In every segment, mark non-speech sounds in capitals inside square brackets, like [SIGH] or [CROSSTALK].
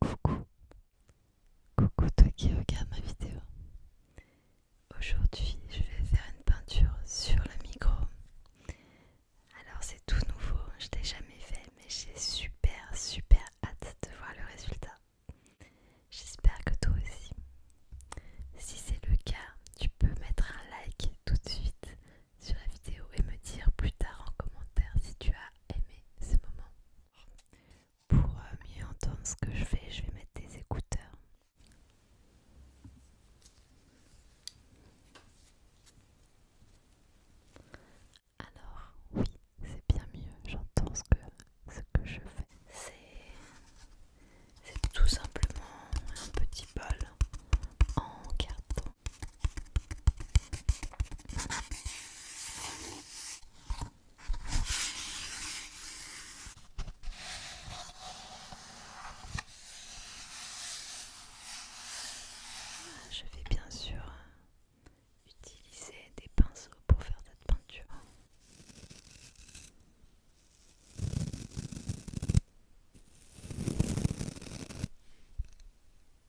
Coucou, coucou toi qui regarde ma vidéo. Aujourd'hui, je vais faire une peinture sur le micro. Alors c'est tout nouveau, je l'ai jamais fait, mais j'ai super super hâte de voir le résultat. J'espère que toi aussi. Si c'est le cas, tu peux mettre un like tout de suite sur la vidéo et me dire plus tard en commentaire si tu as aimé ce moment. Pour euh, mieux entendre ce que je fais, je vais mettre des écouteurs. Alors, oui, c'est bien mieux, j'entends ce que, ce que je fais. C'est tout simplement un petit bol en carton je vais bien sûr utiliser des pinceaux pour faire cette peinture.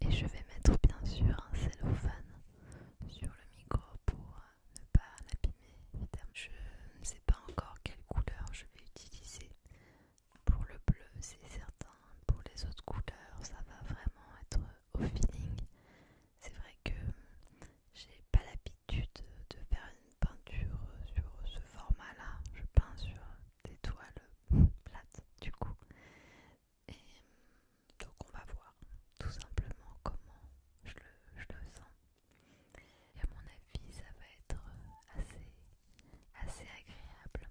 Et je vais mettre bien sûr un cellophane sur le micro pour euh, ne pas l'abîmer Je ne sais pas encore quelle couleur je vais utiliser. Pour le bleu c'est certain, pour les autres couleurs ça va vraiment être au feeling. C'est vrai que j'ai pas l'habitude de faire une peinture sur ce format là je peins sur des toiles [LAUGHS] plates du coup et hum, donc on va voir tout simplement comment je le, sens et à mon avis ça va être assez assez agréable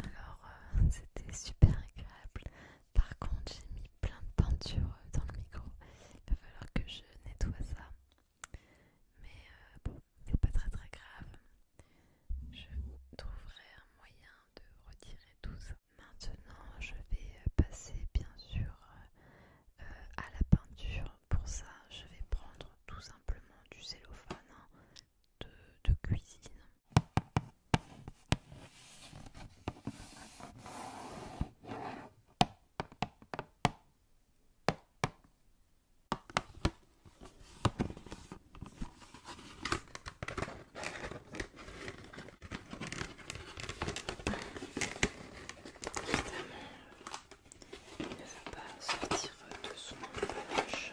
Alors euh, c'était super agréable. Par contre j'ai mis plein de peinture dans le micro. Il va falloir que je nettoie ça. Mais euh, bon, c'est pas très très grave. Je trouverai un moyen de retirer tout ça. Maintenant je vais euh, passer bien sûr à la peinture pour ça, je vais prendre tout simplement du cellophane hein, de, cuisine ne va pas sortir de son emballage.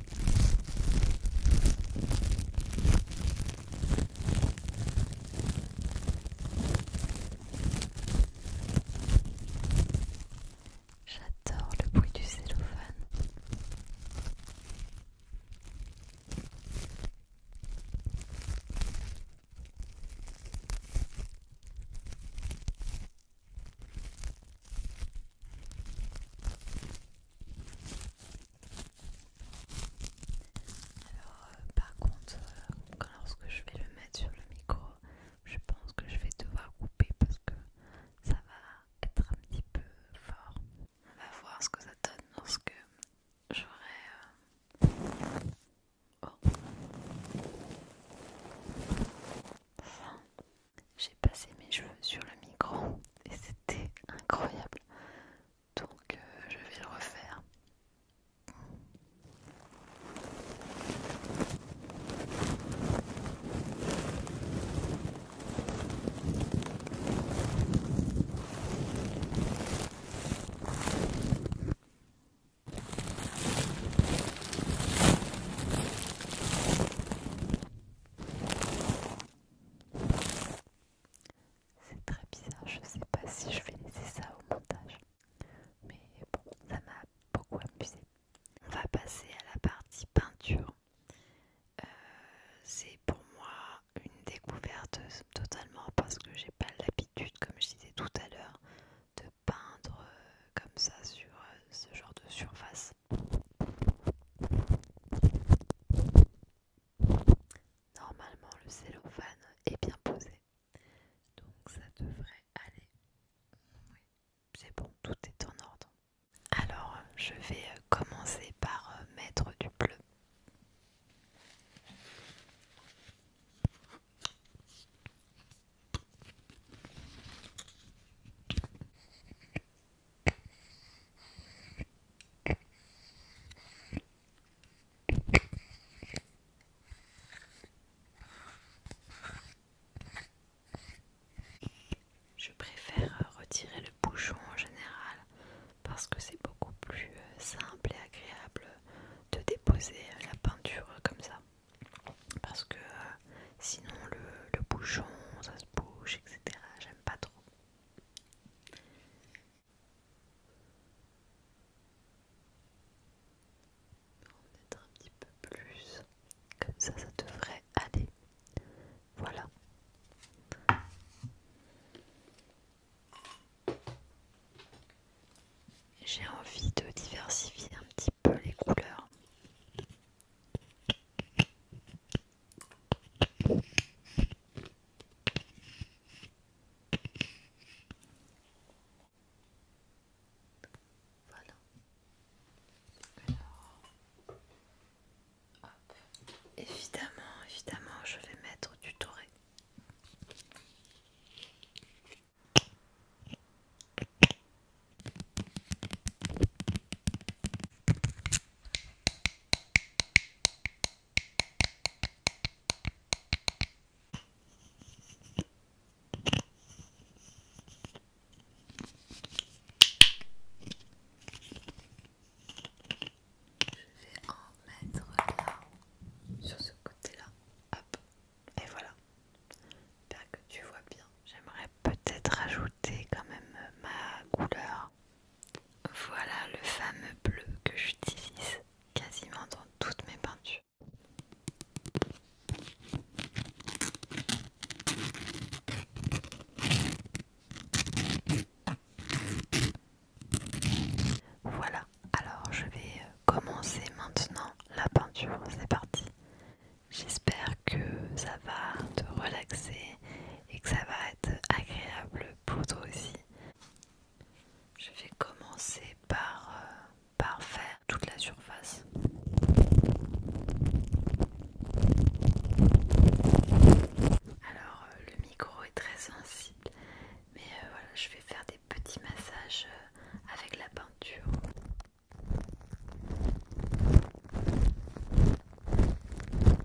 J'adore le bruit du cellophane. Alors, euh, par contre, euh, lorsque je vais le mettre sur le micro, je pense que je vais devoir couper parce que ça va être un petit peu fort. On va voir ce que ça donne lorsque j'aurai. Euh, oh. j'ai passé mes cheveux sur le micro et c'était incroyable. Donc euh, je vais le refaire. C'est très bizarre, je sais pas si je vais laisser ça au montage. Mais bon, ça m'a beaucoup amusé. On va passer à la partie peinture. Euh, c'est pour moi une découverte totalement parce que j'ai pas l'habitude, comme je disais tout à l'heure, de peindre euh, comme ça sur euh, ce genre de surface. Normalement, le cellophane est bien posé, donc ça devrait aller. Oui, c'est bon, tout est en ordre. Alors, je vais euh, commencer par euh, mettre du bleu. Je préfère euh, retirer le bouchon en général parce que c'est beaucoup plus euh, simple et agréable de déposer euh, la peinture comme ça. Parce que sinon le, bouchon, ça se bouge, etc. J'aime pas trop être un petit peu plus, comme ça, ça devrait aller. Voilà. J'ai envie de diversifier un petit peu les couleurs. Voilà. Évidemment, évidemment, je vais mettre du doré. Je vais en mettre là, sur ce côté-là. Hop, et voilà. J'espère que tu vois bien. J'aimerais peut-être ajouter quand même ma couleur voilà le fameux bleu que j'utilise quasiment dans toutes mes peintures. Voilà, alors je vais euh, commencer maintenant la peinture, c'est parti. J'espère que ça va te relaxer et que ça va être agréable poudre aussi. Je vais commencer par, euh, par faire toute la surface. Alors euh, le micro est très sensible, mais euh, voilà, je vais faire des petits massages avec la peinture.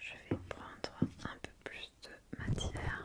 Je vais prendre un peu plus de matière.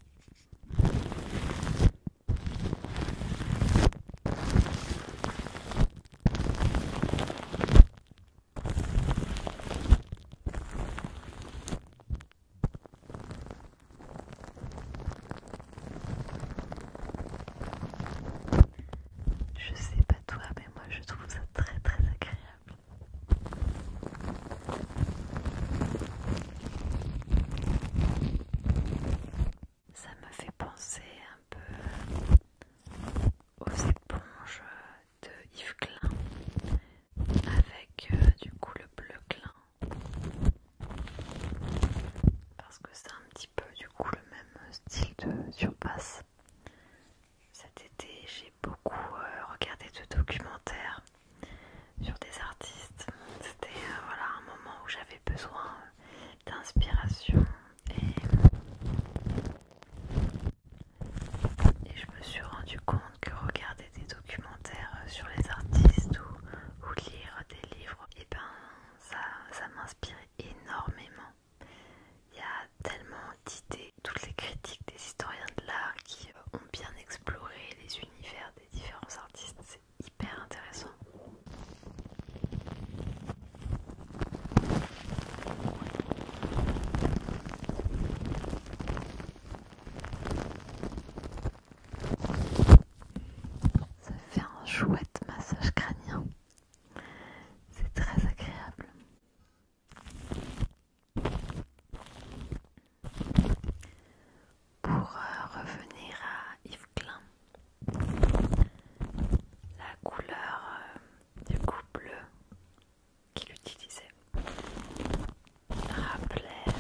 Je sais pas toi, mais moi je trouve ça très très agréable. Ça me fait penser un peu aux éponges de Yves Klein avec euh, du coup le bleu Klein parce que c'est un petit peu du coup le même style de surpasse. Cet été, j'ai beaucoup euh, regardé de documentaires sur des artistes. C'était euh, un moment où j'avais besoin d'inspiration et... je me suis rendu compte que regarder des documentaires sur les artistes ou, lire des livres, et eh ben ça, ça m'inspire énormément. Il y a tellement d'idées toutes les critiques des historiens de l'art qui euh, ont bien exploré les univers des différents artistes, c'est hyper intéressant. Ça fait un chouette massage crânien. C'est très agréable. Pour euh, revenir à Yves Klein, la couleur euh, du coup bleu qu'il utilisait rappelait,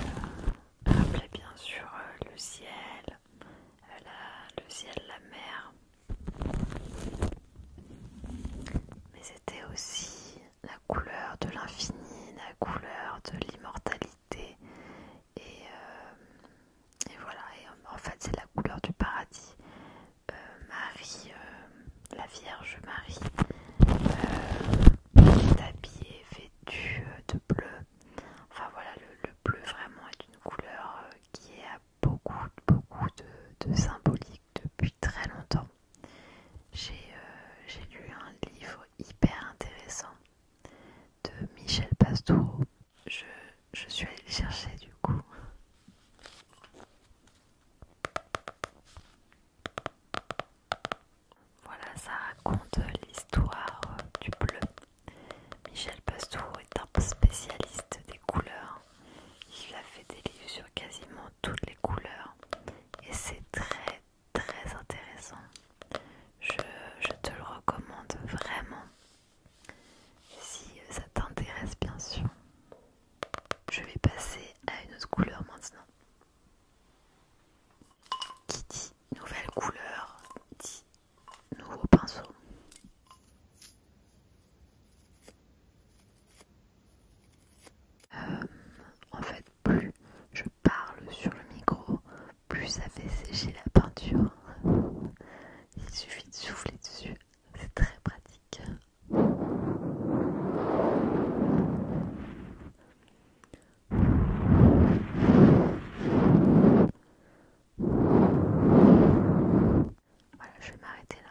euh, bien sûr le ciel, le ciel, la mer, mais c'était aussi la couleur de l'infini, la couleur de l'immortalité. Et, euh, voilà, euh, en fait c'est la couleur du paradis. Euh, Marie, la Vierge Marie, est habillée, vêtue de bleu. Enfin voilà, le, bleu vraiment est une couleur qui a beaucoup, beaucoup de, symbolique depuis très longtemps. J'ai lu un livre hyper intéressant de Michel Pastoureau. Je, suis allée le chercher du coup. Voilà, ça raconte l'histoire du bleu. Michel Pastoureau est un spécialiste des couleurs. Il a fait des livres sur quasiment toutes les couleurs et c'est très très intéressant. Je, te le recommande vraiment. Si ça t'intéresse bien sûr. Je vais passer à une autre couleur maintenant. Qui dit nouvelle couleur dit nouveau pinceau. Euh, en fait, plus je parle sur le micro, plus ça fait sécher la peinture. Il suffit de souffler dessus, c'est très pratique. Voilà, je vais m'arrêter là.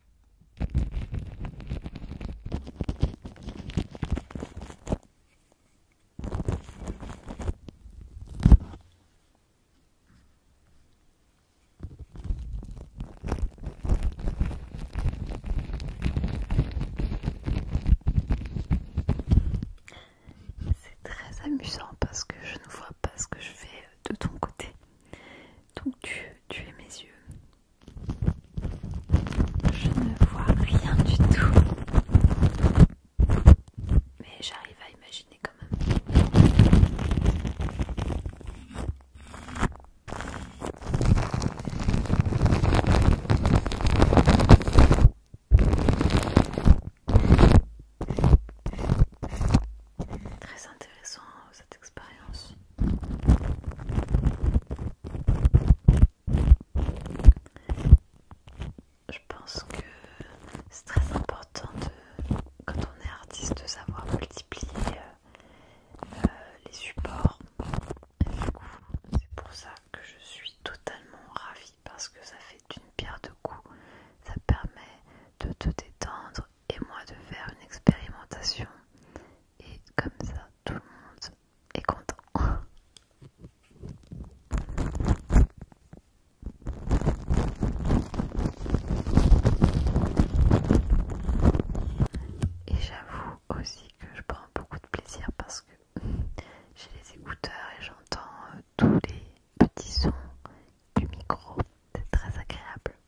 C'est très amusant parce que je ne vois pas ce que je fais de ton côté. Donc tu, es mes yeux, je ne vois rien du tout. Mais j'arrive à imaginer quand même. Très intéressant cette expérience. Je pense que c'est très important de, quand on est artiste de savoir multiplier euh, euh, les supports. du coup, c'est pour ça que je suis totalement ravie parce que ça fait une pierre de coups. Ça permet de te détendre, et moi de faire une expérimentation et comme ça tout le monde est content. Et j'avoue aussi que je prends beaucoup de plaisir parce que [LAUGHS] j'ai les écouteurs et j'entends euh, tous les petits sons du micro, c'est très agréable.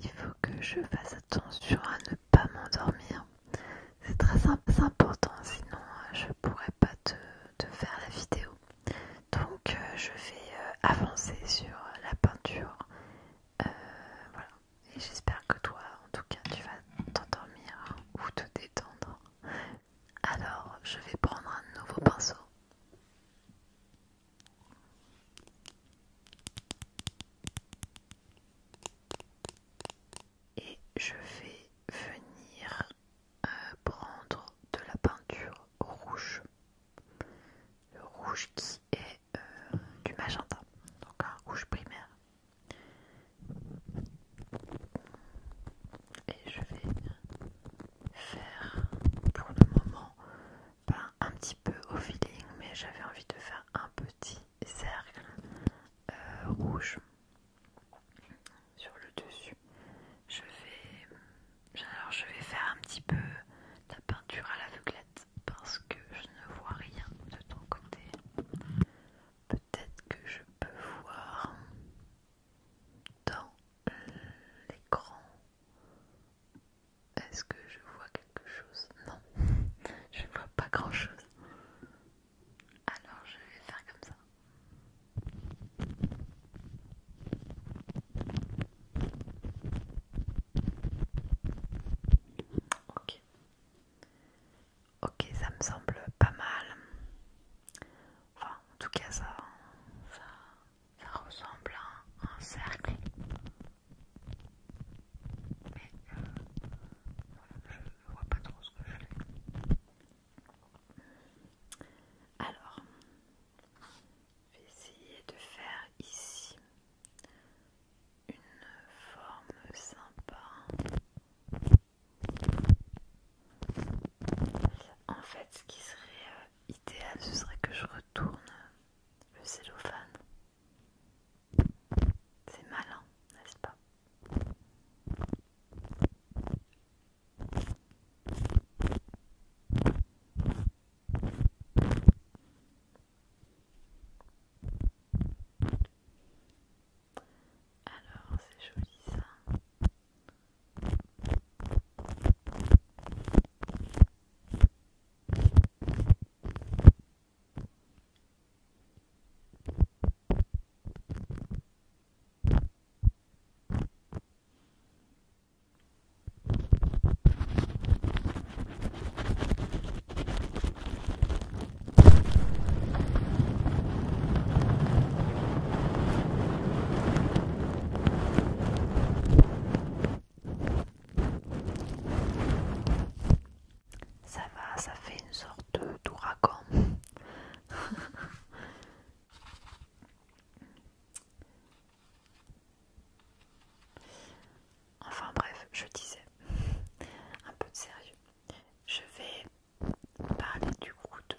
Il faut que je fasse attention à ne pas m'endormir. C'est très important, sinon euh, je pourrais pas te, faire la vidéo. Donc euh, je vais euh, avancer sur la peinture. voilà. Et j'espère que toi, en tout cas, tu vas t'endormir ou te détendre. Alors, je vais prendre un nouveau pinceau. Et je vais venir euh, prendre de la peinture rouge. Le rouge qui est euh, du magenta, donc un rouge primaire et je vais faire pour le moment pas ben, un petit peu au feeling mais j'avais envie de faire un petit cercle euh, rouge sur le dessus je vais alors je vais faire un petit peu la peinture à l'aveuglette parce que je ne vois rien de ton côté peut-être que je peux voir dans l'écran. Est-ce que je vois quelque chose Non, [LAUGHS] je ne vois pas grand-chose. Alors je vais faire comme ça. Ok. Ok, ça me semble pas mal. Enfin, en tout cas, ça, ça, ressemble à un, cercle. Mais euh, voilà, je vois pas trop ce que je fais. Alors, je vais essayer de faire ici une forme sympa. En fait, ce qui serait euh, idéal, ce serait que je retourne le cellophane. C'est malin, n'est-ce pas alors, c'est joli ça. Ça va, ça fait une sorte d'ouragan. [LAUGHS] enfin bref, je disais un peu de sérieux. Je vais parler du coup de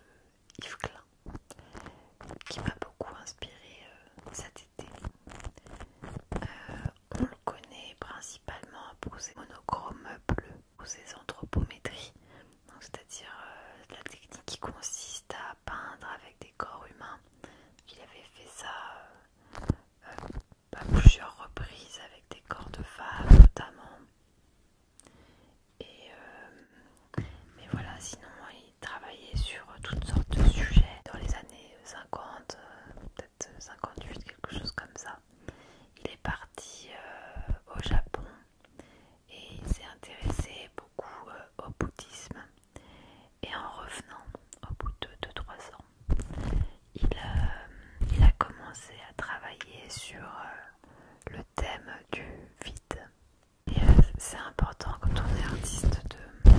Yves Klein qui m'a beaucoup inspiré euh, cet été. Euh, on le connaît principalement pour ses monochromes bleus ou ses anthropométries, c'est-à-dire euh, la technique qui consiste à peindre avec des corps humains. Il avait fait ça à plusieurs reprises avec des corps de femmes notamment. Et euh, mais voilà, sinon il travaillait sur toutes sortes de sujets dans les années 50, euh, peut-être 58, quelque chose comme ça. Il est parti euh, au Japon et il s'est intéressé beaucoup au bouddhisme. Et en revenant au bout de 2-3 ans, il, a commencé à travailler sur le thème du vide. Et euh, c'est important quand on est artiste de,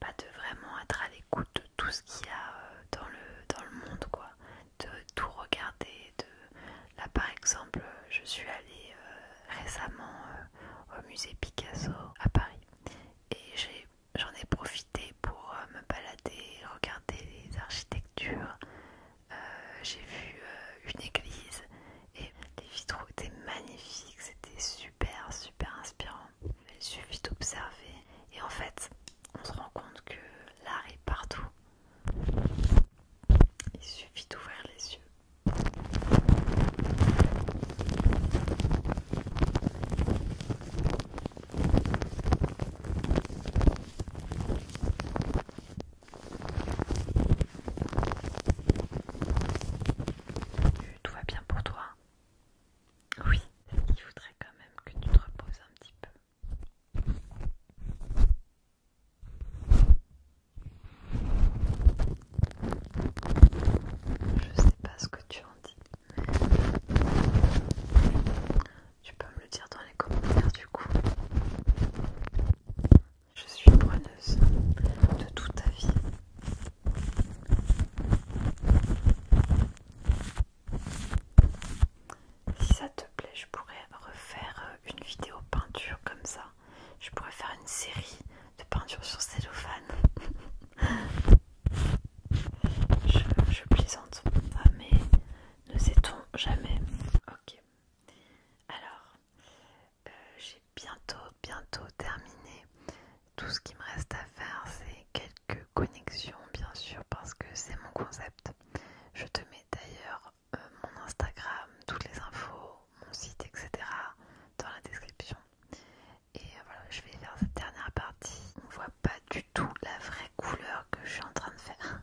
bah, de vraiment être à l'écoute de tout ce qu'il y a euh, dans le, dans le monde, quoi. De tout regarder. De... Là par exemple, je suis allée euh, récemment au musée Picasso à Paris et j'en ai profité pour me balader, regarder les architectures, euh, j'ai vu euh, une église et les vitraux étaient magnifiques, c'était super super inspirant. Il suffit d'observer et en fait on se rend compte que l'art est partout. Il suffit d'ouvrir les yeux. Tout va bien pour toi Oui, il faudrait quand même que tu te reposes un petit peu. Je sais pas ce que tu en dis. Tu peux me le dire dans les commentaires du coup. Je suis preneuse de toute ta vie. Si ça te plaît, je pourrais refaire euh, une vidéo peinture comme ça. Je pourrais faire une série de peintures sur cellophane. [LAUGHS] je, je plaisante, ah, mais ne sait-on jamais. Ok. Alors, euh, j'ai bientôt, bientôt terminé. Tout ce qui me reste à faire, c'est quelques connexions, bien sûr, parce que c'est mon concept. Je te mets d'ailleurs euh, mon Instagram, toutes les infos, mon site, etc. dans la description. Et euh, voilà, je vais faire cette dernière partie. On voit pas du tout la vraie couleur que je suis en train de faire.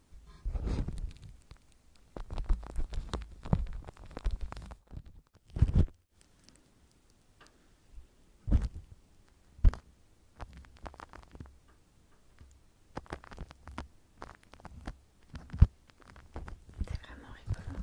C'est vraiment rigolo.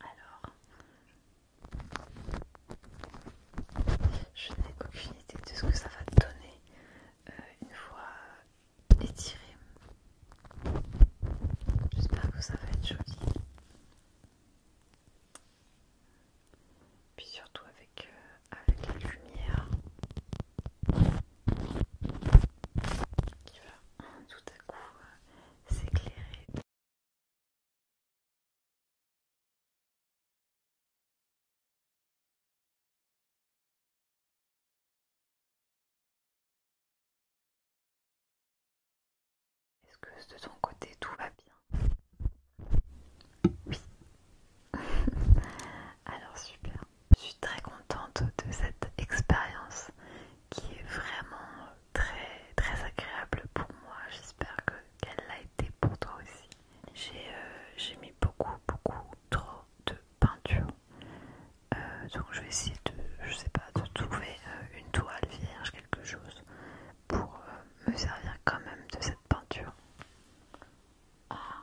Alors, je n'ai aucune idée de ce que ça va donner euh, une fois étiré. J'espère que ça va être joli puis surtout avec, euh, avec la lumière qui va tout à coup euh, s'éclairer. Est-ce que de ton côté tout va bien oui. [LAUGHS] Alors super. Je suis très contente de cette expérience qui est vraiment très très agréable pour moi. J'espère qu'elle l'a été pour toi aussi. J'ai euh, mis beaucoup beaucoup trop de peinture. Euh, donc je vais essayer de, je sais pas, de trouver euh, une toile vierge, quelque chose, pour me servir quand même de cette peinture. Ah,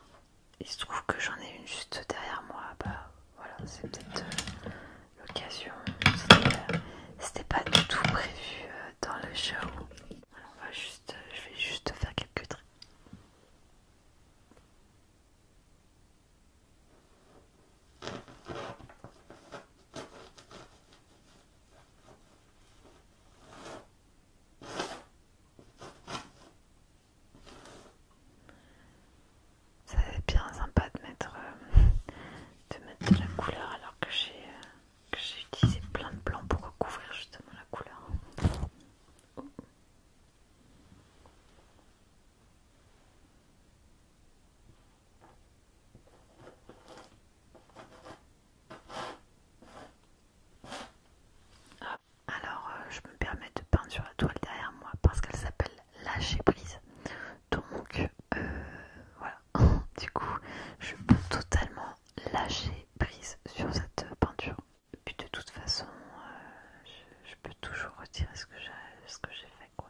il se trouve que j'en ai une juste derrière moi. Bah voilà, c'est peut-être euh, l'occasion. Euh, c'était pas du tout prévu euh, dans le show. juste, je vais juste faire quelques traits. C'est bien sympa euh, de mettre, de la couleur alors que j'ai euh, j'ai utilisé plein de blanc pour recouvrir justement la couleur. Alors euh, je me permets de peindre sur la toile derrière moi parce qu'elle s'appelle lâcher prise. Donc euh, voilà, [LAUGHS] du coup je peux totalement lâcher prise sur cette peinture. puis de toute façon, euh, je, peux toujours retirer ce que j'ai fait quoi.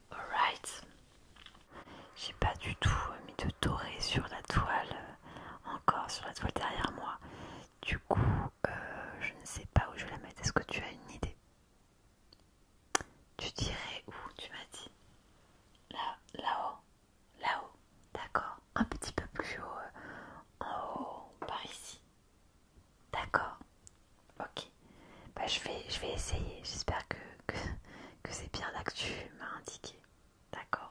Alright. J'ai pas du tout mis de doré sur la toile, euh, encore sur la toile derrière moi. Du coup, euh, je ne sais pas où je vais la mettre. Est-ce que tu as une idée Tu dirais où Tu m'as dit Là, là-haut, là-haut. D'accord. Un petit peu plus haut, euh, en haut, par ici. D'accord. Ok. Bah, je, vais, essayer. J'espère que, c'est bien là que tu m'as indiqué. D'accord.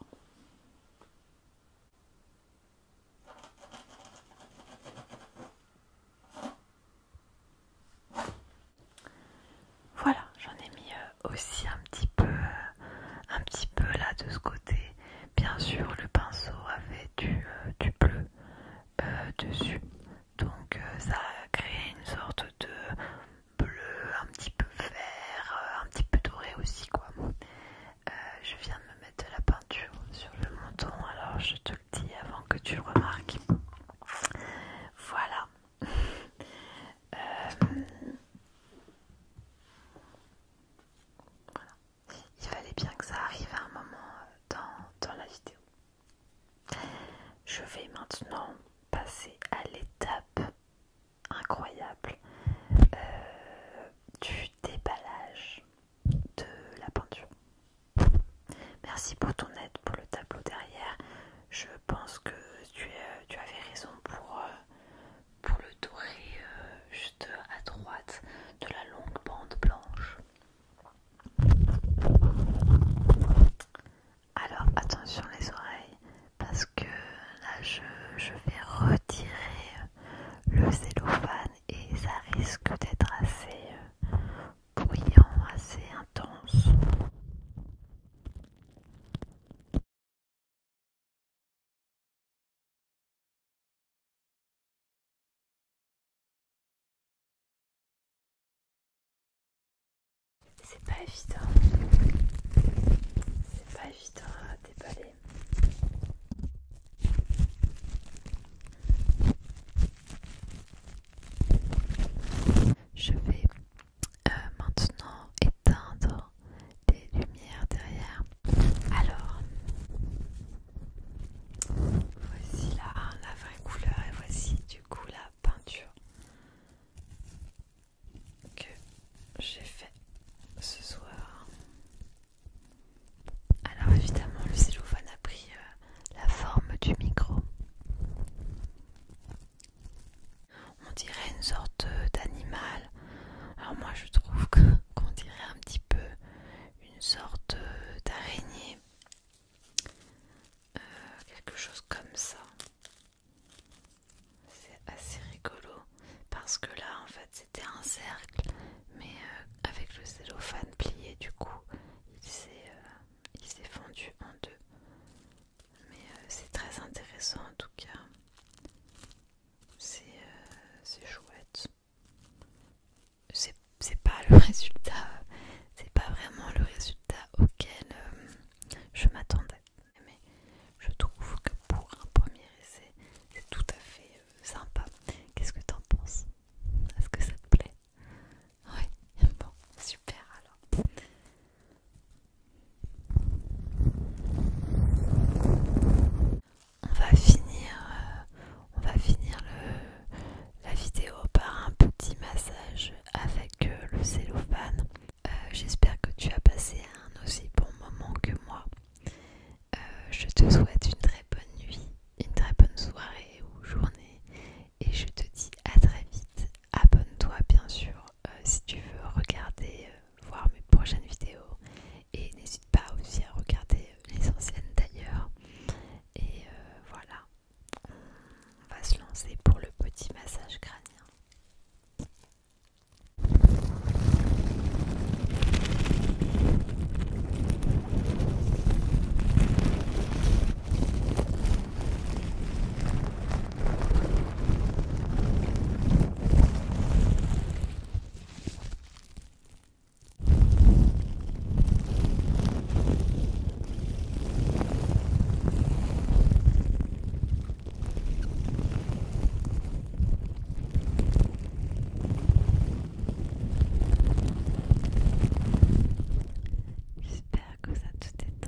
Voilà, j'en ai mis euh, aussi un petit peu, euh, un petit peu là de ce côté. Bien sûr, le pinceau avait du euh, bleu, euh, dessus. Donc euh, ça a créé une sorte de bleu, un petit peu vert, euh, un petit peu doré aussi quoi. je viens de me mettre de la peinture sur le menton, alors je te le dis avant que tu remarques. [LAUGHS] Voilà. Il fallait bien que ça arrive à un moment dans la vidéo. Je vais maintenant passer à l'étape incroyable euh, du déballage de la peinture. Merci pour ton aide pour le tableau derrière. Je pense que tu, avais raison pour, euh, le dorer euh, juste à droite de la longue bande blanche. Alors attention les oreilles parce que là je, vais retirer euh, le cellophane et ça risque d'être assez euh, bruyant, assez intense. C'est pas évident. C'est pas évident à hein, déballer. Je vais euh, maintenant éteindre les lumières derrière. Alors, voici hein, la vraie couleur et voici du coup la peinture que j'ai fait ce soir. Alors évidemment le cellophane a pris euh, la forme du micro. On dirait une sorte d'animal. Alors moi je trouve [LAUGHS] qu'on dirait un petit peu une sorte euh, d'araignée euh, quelque chose comme ça. C'est assez rigolo parce que là en fait c'était un cercle mais euh, avec le cellophane plié du coup il s'est euh, s'est fondu en deux. Mais c'est très intéressant en tout cas. C'est chouette. C'est c'est pas le [LAUGHS] résultat, c'est pas vraiment le résultat auquel euh, je m'attendais. Mais je trouve que pour un premier essai, c'est tout à fait euh, sympa. Qu'est-ce que t'en penses Est-ce que ça te plaît Oui, [LAUGHS] bon, super alors. On va finir, euh, on va finir le, la vidéo par un petit massage avec euh, le cellophane. Euh, j'espère que tu as passé un aussi bon moment que moi. Euh, je te souhaite une très bonne nuit, une très bonne soirée ou journée et je te dis à très vite. Abonne-toi bien sûr si tu veux regarder, voir mes prochaines vidéos et n'hésite pas aussi à regarder les anciennes d'ailleurs. Et voilà, on va se lancer pour le petit massage crânien. J'espère que ça tout est